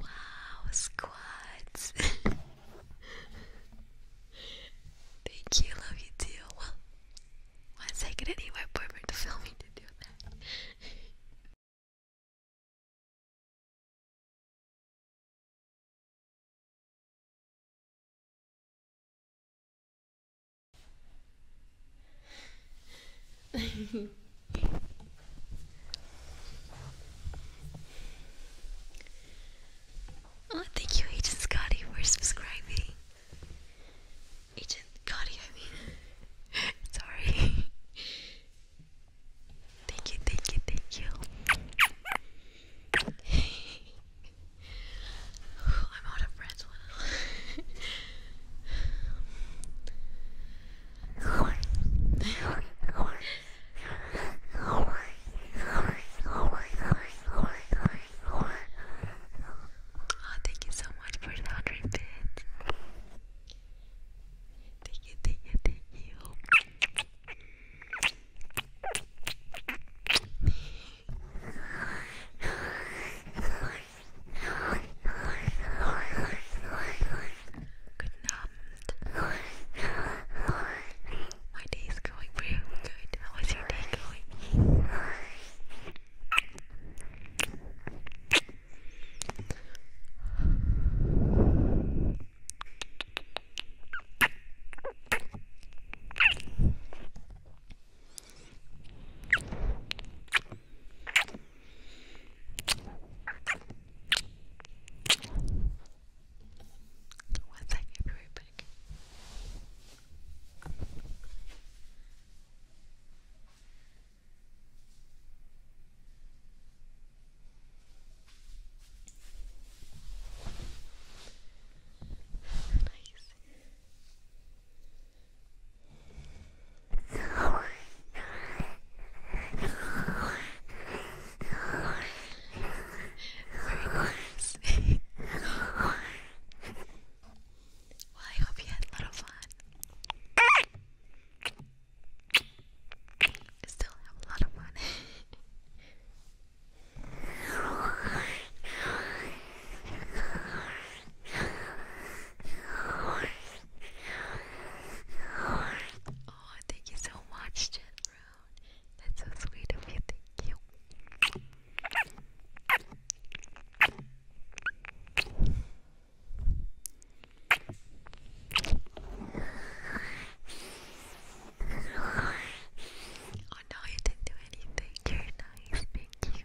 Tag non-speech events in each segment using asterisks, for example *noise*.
Wow, squats. *laughs* Thank you, love you too. Well, one second anyway, perfect filming to do that oh, thank you, Agent Scotty, for subscribing. Agent Scotty, *laughs* Sorry. thank you, thank you, thank you. *laughs* I'm out of breath. *laughs* Oh, thank you so much for the hundred bits. Thank you, thank you, thank you. Good night. My day is going real good. How is your day going? One second, I'll be right back. Nice. Very nice. well, I hope you had a lot of fun. Still have a lot of fun. *laughs* Oh, thank you so much, Jen That's so sweet of you. Thank you. Oh no, you didn't do anything. You're nice. Thank you.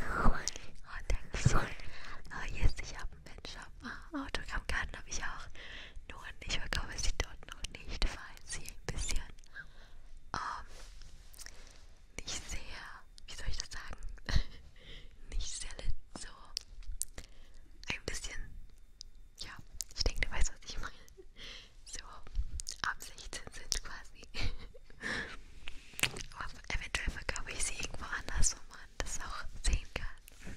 Oh, Dankeschön. Oh, yes, ich habe ein Mensch. Oh, ah, Autogrammkarten habe ich auch. Nur ich verkaufe sie dort noch nicht, weil sie ein bisschen ähm, nicht sehr, wie soll ich das sagen, *laughs* nicht sehr so ein bisschen, ja, ich denke, du weißt, was ich meine. So, ab 16 sind quasi. *laughs* Aber eventuell verkaufe ich sie irgendwo anders, wo man das auch sehen kann.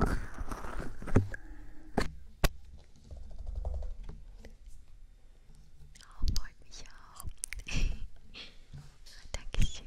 Oh, freut mich auch. *laughs* Dankeschön.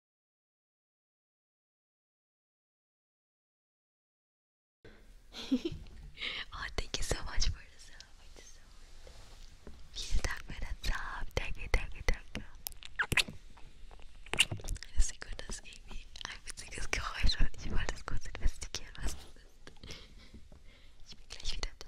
oh, thank you so much for the sub. Thank you so much. Vielen Dank für den Sub. Danke, danke, danke. Das ist gut, dass irgendwie ein witziges Geräusch und ich wollte es kurz investigieren, was es ist. Ich bin gleich wieder da.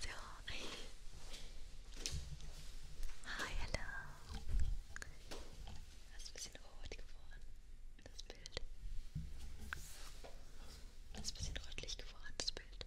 So. Hi, hello. Das ist ein bisschen rot geworden, das Bild. Das ist ein bisschen rötlich geworden, das Bild.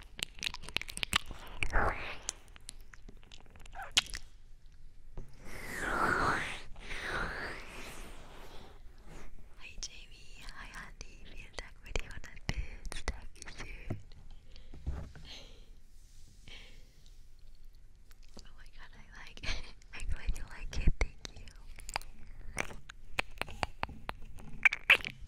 Hi Jamie, hi Andy, vielen Dank für die 100 Bits, Dankeschön. Oh my god, I like it. I'm glad you like it, thank you.